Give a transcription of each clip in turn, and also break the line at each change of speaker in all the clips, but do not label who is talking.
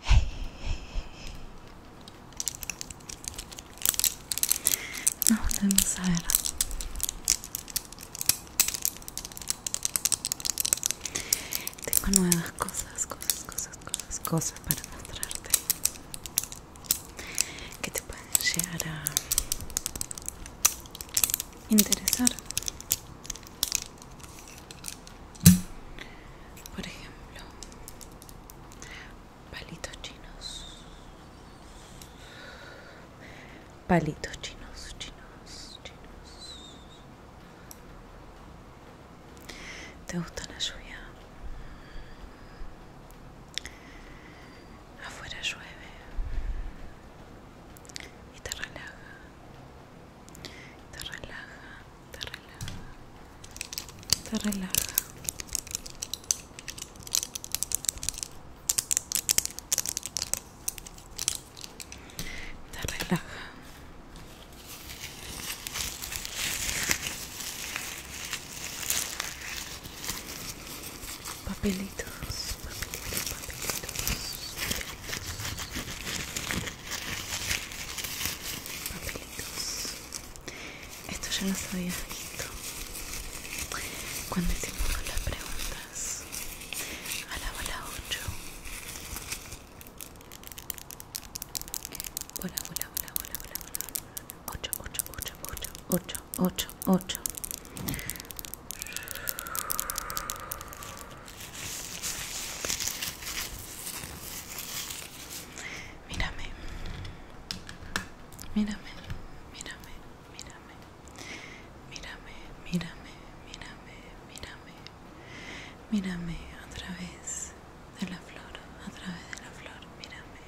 Hey, ver. Tengo nuevas cosas, cosas, cosas, cosas, cosas para mostrarte que te pueden llegar a interesar por ejemplo palitos chinos palitos chinos chinos chinos te gusta la lluvia Afuera llueve y te relaja, te relaja, te relaja, te relaja. Te relaja. Papelitos papelitos, papelitos. Esto ya no sabía visto cuando hicimos las preguntas a la bola 8. hola, hola, hola, hola, hola! Ocho, ocho, ocho, 8. 8, 8, 8. Mírame, mírame, mírame, mírame, mírame, mírame, mírame, mírame, mírame a través de la flor, a través de la flor, mírame,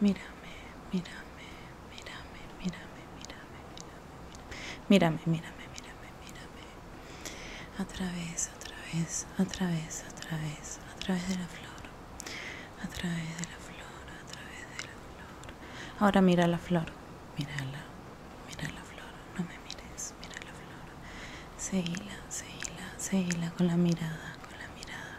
mírame, mírame, mírame, mírame, mírame, mírame, mírame, mírame, mírame, mírame, a través, a través, a través, a través, a través de la flor, a través de la flor, a través de la flor. Ahora mira la flor, mírala, mira la flor, no me mires, mira la flor, seguila, seguila, seguila con la mirada, con la mirada.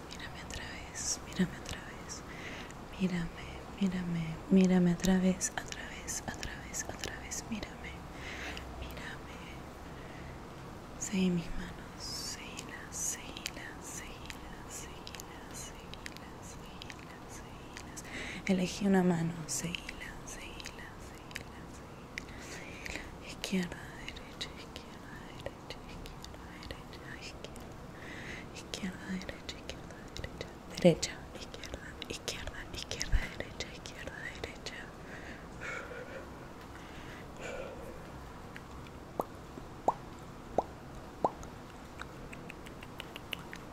mírame otra vez, mírame otra vez, mírame, mírame, mírame otra vez, otra vez, otra vez, otra vez, mírame, mírame. Seguí mis manos, las, seguí las, seguí las, seguí las. Elegí una mano, las, seguí las, seguí las, Izquierda, derecha, izquierda, derecha izquierda, derecha, izquierda, izquierda, derecha, izquierda, derecha, derecha, izquierda, izquierda, izquierda, derecha, izquierda, derecha.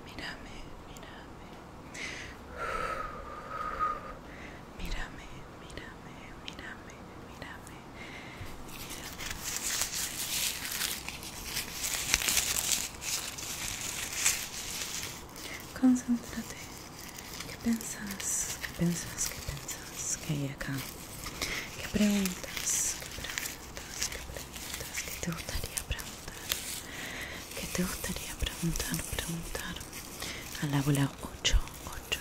Mírame, mírame. Mírame, mírame, mírame, mírame. Concéntrate. ¿Qué piensas? ¿Qué piensas? ¿Qué piensas? ¿Qué hay acá? ¿Qué preguntas? ¿Qué preguntas? ¿Qué preguntas? ¿Qué te gustaría preguntar? ¿Qué te gustaría preguntar? Preguntar a la bola 8, 8,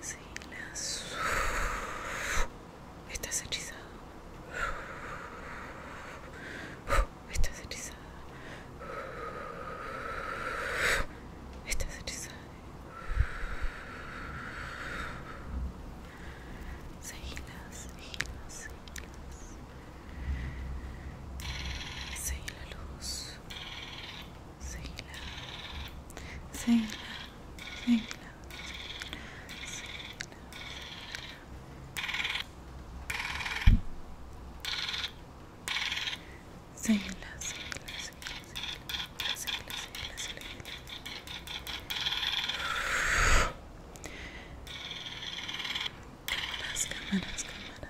Sí, las... Estás hechizado. Estás hechizada. Estás hechizada. Seguilas, seguilas, seguilas. Seguí la luz. Seguila, seguila, seguila, seguila, cámaras.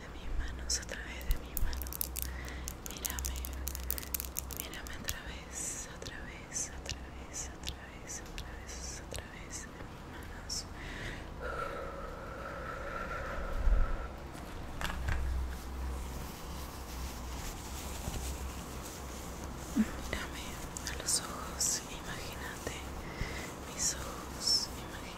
de mis manos, a través de mis manos. Mírame, mírame a través, a través, a través, a través, a través, a través de mis manos. Mírame a los ojos, imagínate mis ojos, imagínate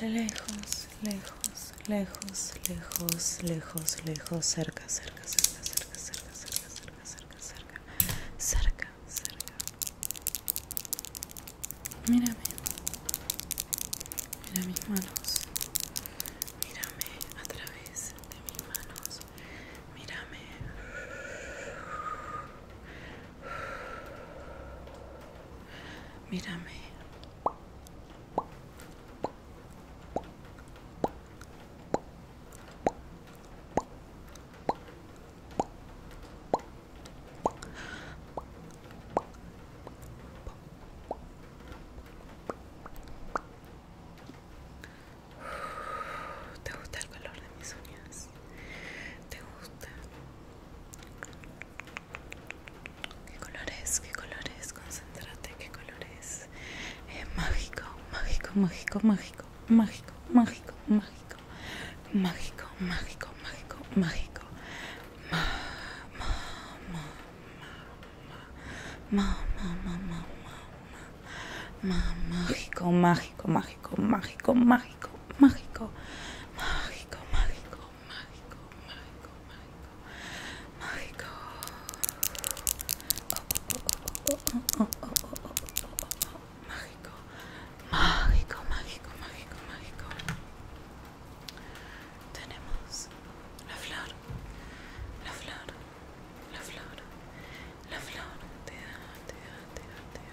Lejos, lejos, lejos, lejos, lejos, lejos, cerca, cerca, cerca, cerca, cerca, cerca, cerca, cerca, cerca, cerca, cerca. Mírame. Mira mis manos. Mírame a través de mis manos. Mírame. Mírame. ¿Te gusta el color de mis uñas? ¿Te gusta? ¿Qué colores, ¿Qué colores, Concéntrate, ¿qué colores, es? mágico, mágico, mágico, mágico, mágico, mágico, mágico, mágico, mágico, mágico, mágico, mágico. mágico, mágico, mágico, mágico, mágico mágico, mágico, mágico, mágico, mágico, mágico, mágico, mágico, mágico, mágico, mágico, mágico. Tenemos la flor, la flor, la flor, la flor, te te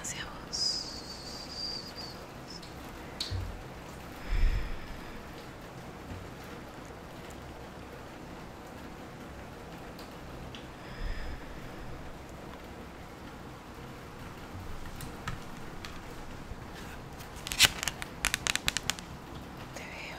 hacia vos. Te veo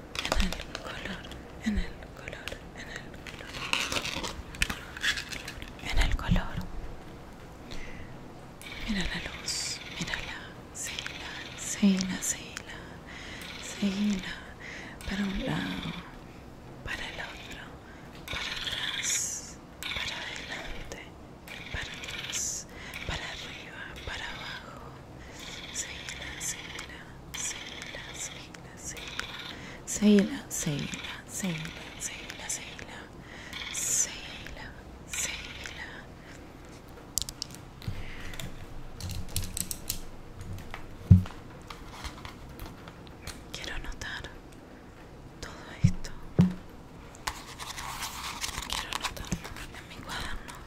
en el color, en el color, en el color, en el color. Mira la luz, mírala, síguela, síguela, síguela, para un lado, para el otro, para atrás, para adelante, para atrás, para arriba, para abajo. Seguila, seguila, seguila, seguila, seguila. Seguila, seguila, seguila, seguila, seguila. Seguila, seguila. Quiero notar todo esto. Quiero notarlo en mi cuaderno.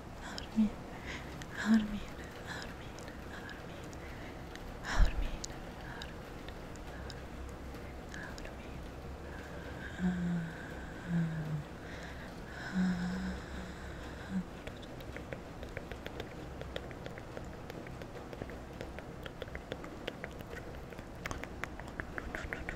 Armin, Armin, Armin, Armin, Armin, Armin, Armin,